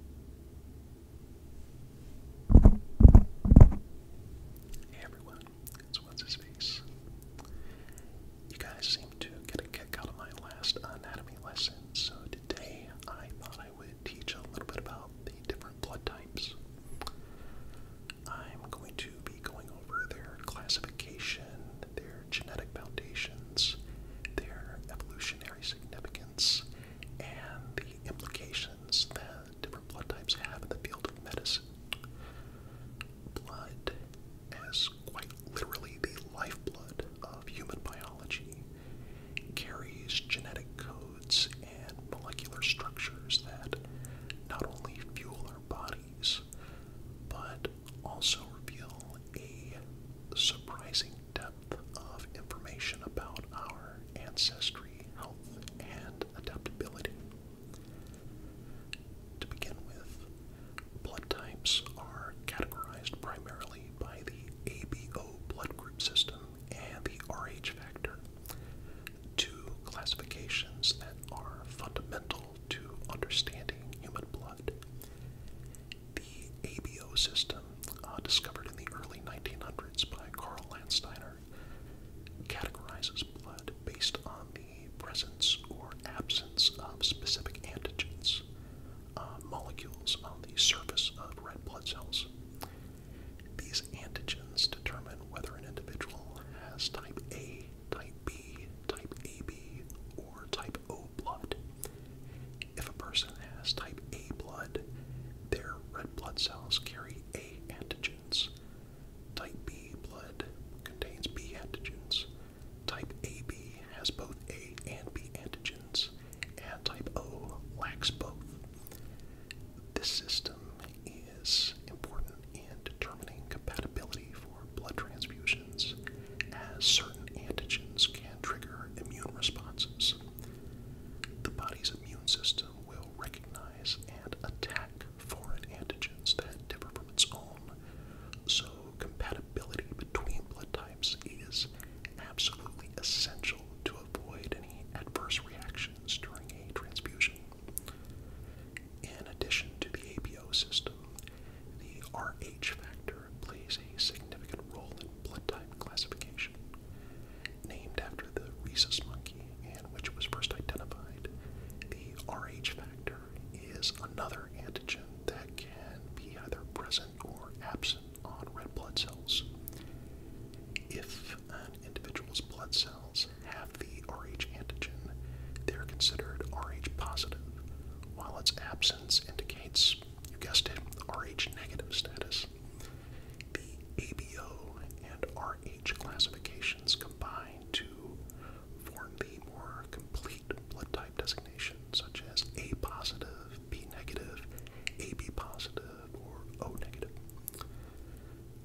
Hey everyone, it's What's His Face. You guys seem to get a kick out of my last anatomy lesson, so today I thought I would teach a little bit about the different blood types. I'm going to be going over their classification, their genetic foundations, their evolutionary significance, and the implications that different blood types have in the field of medicine. Blood, as quite literally the lifeblood of human biology, carries genetic codes and molecular structures that not only fuel our bodies, but also reveal a surprising depth of information about our ancestry, health, and adaptability. To begin with, blood types are categorized primarily by the ABO blood group system and the RH factor, two classifications that are fundamental to understanding human blood. The ABO system, uh, discovered in the early 1900s by Carl Landsteiner, categorizes blood based on the presence or absence of specific antigens, uh, molecules on the surface of red blood cells. These antigens determine whether an individual has type A, type B, type AB, or type O blood. If a person has type A blood, their red blood cells carry A antigens. Type B blood contains B antigens. Type AB has both A and B antigens, and type O lacks both. This system is important in determining compatibility for blood transfusion as certain antigens can trigger immune responses. The body's immune system will recognize and attack foreign antigens that differ from its own, so compatibility between blood types is absolutely essential to avoid any adverse reactions during a transfusion. In addition to the APO system, the Rh factor plays a significant role in blood type classification. Named after the rhesus monkey and which was first identified, the Rh factor is another antigen that can be either present or absent on red blood cells. If an individual's blood cells have the Rh antigen, they're considered Rh positive, while its absence indicates, you guessed it, Rh negative status. The ABO and Rh classifications combine to form the more complete blood type designation, such as A positive, B negative, AB positive, or O negative.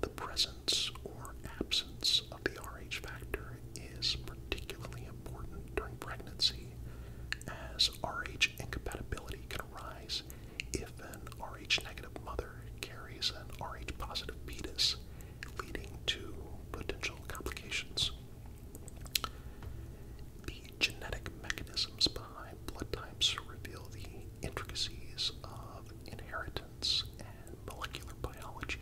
The presence or absence the Rh factor is particularly important during pregnancy, as Rh incompatibility can arise if an Rh negative mother carries an Rh positive fetus, leading to potential complications. The genetic mechanisms behind blood types reveal the intricacies of inheritance and molecular biology.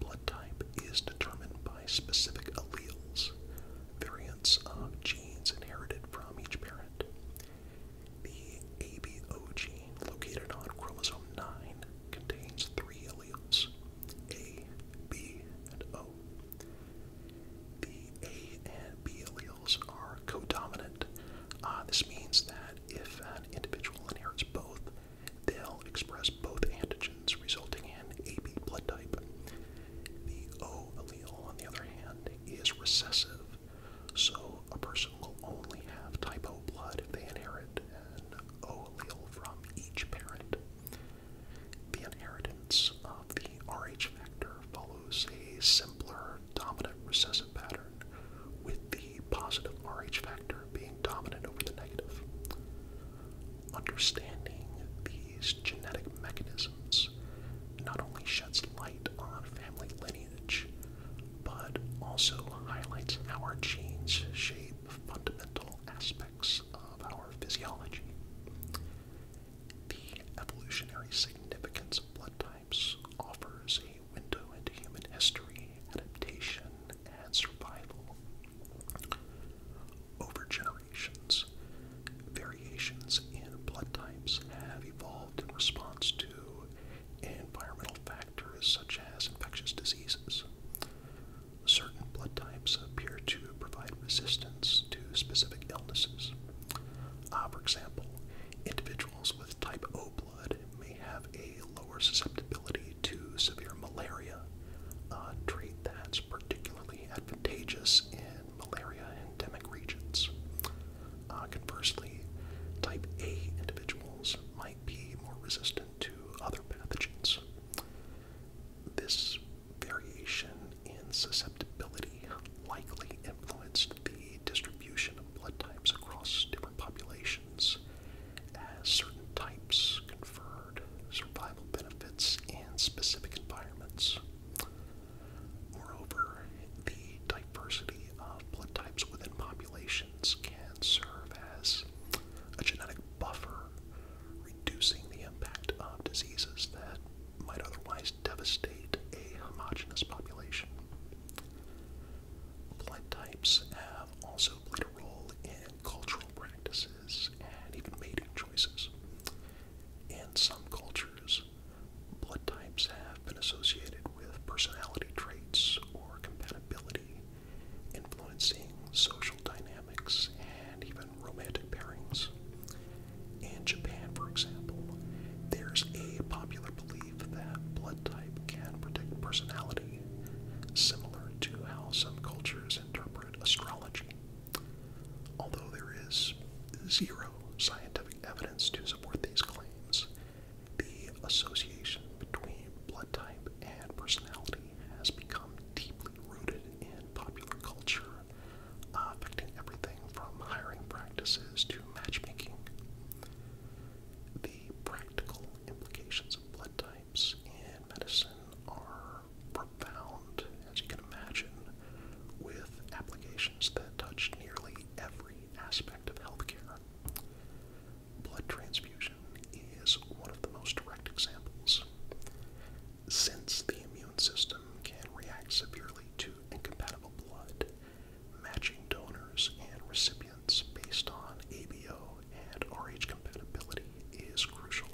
Blood type is determined by specific alleles, variants of genes inherited from each parent. The ABO gene, located on chromosome 9, contains three alleles A, B, and O. The A and B alleles are codominant. Uh, this means that if an individual inherits both, They'll express both antigens, resulting in AB blood type. The O allele, on the other hand, is recessive, so a person will only have type O blood if they inherit an O allele from each parent. The inheritance of the Rh factor follows a simpler dominant recessive pattern with the positive RH factor being dominant over the negative. Understanding these genetic mechanisms not only sheds light on family lineage, but also highlights how our genes shape fundamental aspects of our physiology. The evolutionary significance of blood types offers window into human history, adaptation, and survival. Over generations, variations in blood types have evolved in response to environmental factors such as infectious diseases. Certain blood types appear to provide resistance to specific illnesses. Ah, for example, individuals with type O blood wood may have a lower susceptibility to severe malaria, a uh, trait that's particularly advantageous in malaria endemic regions. Uh, conversely, type A individuals might be more resistant to other pathogens. This variation in susceptibility likely influenced the distribution of blood types across different populations as certain types conferred survival benefits in specific environments. Moreover, the diversity of blood types within populations can serve as a genetic buffer, reducing the impact of diseases that might otherwise devastate a homogeneous population. Blood types have also played a role in cultural practices and even mating choices. In some cultures, blood types have been associated with personality traits or compatibility, influencing social dynamics and even romantic pairings. In Japan, for example, there's a popular belief that blood type can predict personality, similar to how some cultures interpret astrology. Although there is zero scientific evidence to support these claims, the association between blood type and personality has become deeply rooted in popular culture, affecting everything from hiring practices to matchmaking. The practical implications of blood types in medicine are profound, as you can imagine, with applications that touch nearly every aspect of healthcare. Blood transfusion is one of the most direct examples. Since the immune system can react severely to incompatible blood, matching donors and recipients based on ABO and RH compatibility is crucial.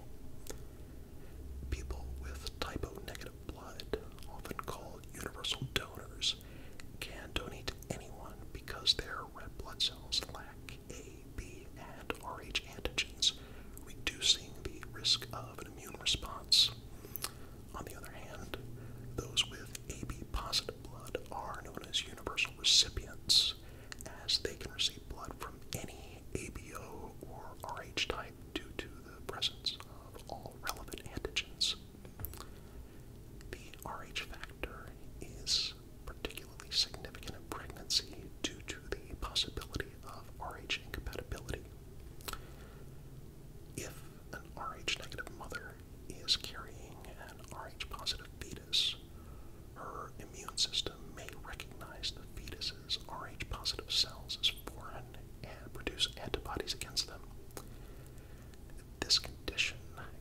People with typo negative blood, often called universal donors, can donate to anyone because their red blood cells lack A, B, and RH antigens, reducing the risk of an immune response. On the other hand, those with AB positive blood are known as universal recipients, as they can receive blood from any ABO or RH type due to the presence of all relevant antigens. The RH factor is particularly significant in pregnancy due to the possibility of RH incompatibility. If an Rh negative mother is carrying an Rh positive fetus. Her immune system may recognize the fetus's Rh positive cells as foreign and produce antibodies against them. This condition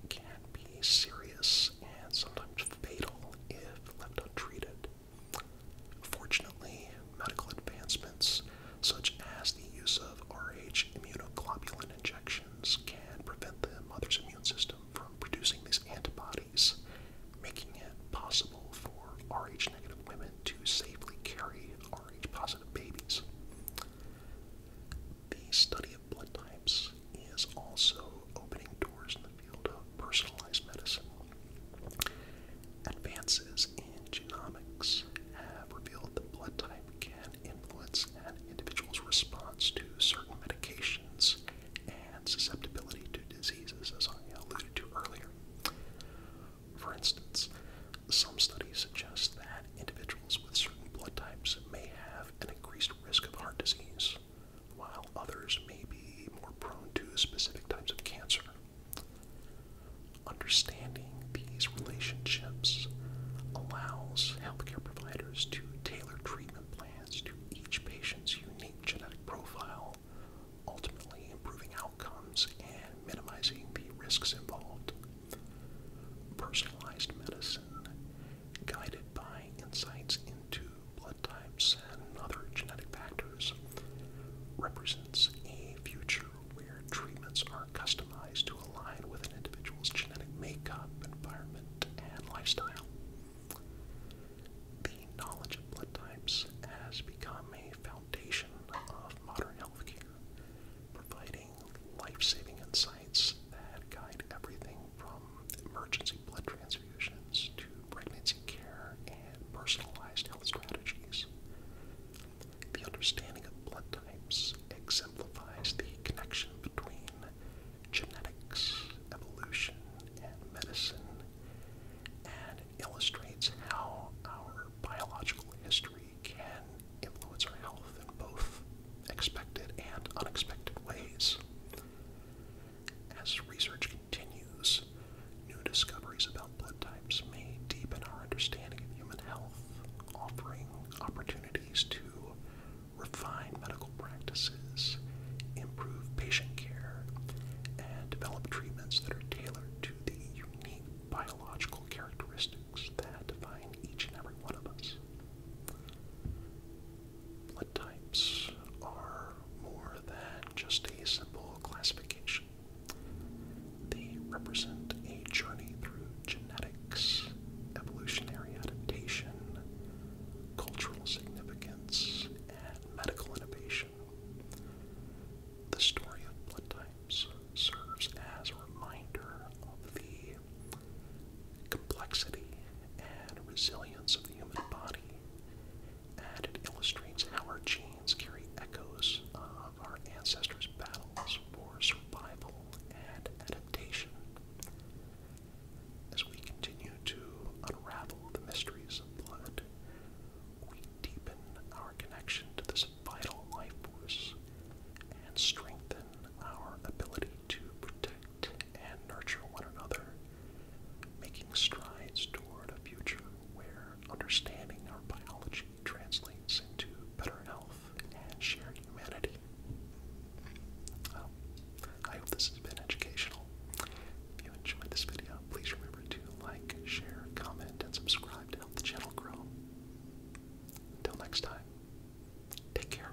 can be serious and sometimes fatal if left untreated. Fortunately, medical advancements such as the use of Rh immunoglobulin injections, can prevent the mother's immune system from producing these antibodies, making it possible for Rh negative women to safely carry Rh positive babies. The study of blood types is also opening doors in the field of personalized medicine. Advances in genomics have revealed that blood type can influence an individual's response to certain medications and susceptibility to diseases, as I alluded to earlier. For instance, some studies suggest that individuals with certain blood types may have an increased risk of heart disease, while others may be more prone to specific types of cancer. Understanding these relationships allows healthcare providers to tailor treatment plans to each patient's unique genetic profile, ultimately improving outcomes and minimizing the risks involved. Personalized medicine, guided by insights into blood types and other genetic factors represents a future where treatments are customized to align with an individual's genetic makeup, environment, and lifestyle. The knowledge of blood types has become a foundation of modern healthcare, providing life saving insights that guide everything from emergency blood transfusion to pregnancy care and personalized health strategies. The understanding of blood types exemplifies the connection between genetics, evolution, and medicine, and illustrates how our biological history can influence our health in both expected and unexpected ways. As research continues, new discoveries about blood types may deepen our understanding of human health, offering opportunities to refine medical practices, improve patient care, and develop treatments that are tailored to the unique biological characteristics that define each and every one of us. Blood types are more than just a simple classification. They represent a journey through genetics, evolutionary adaptation, cultural significance, and medical innovation. The story of blood types serves as a reminder of the complexity and resilience of the human body and it illustrates how our genes carry echoes of our ancestors' battles for survival and adaptation. As we continue to unravel the mysteries of blood, we deepen our connection to this vital life force and strengthen our ability to protect and nurture one another, making strides toward a future where understanding our biology translates into better health and shared humanity. Um, I hope this has been educational. If you enjoyed this video, please remember to like, share, comment, and subscribe to help the channel grow. Until next time, take care.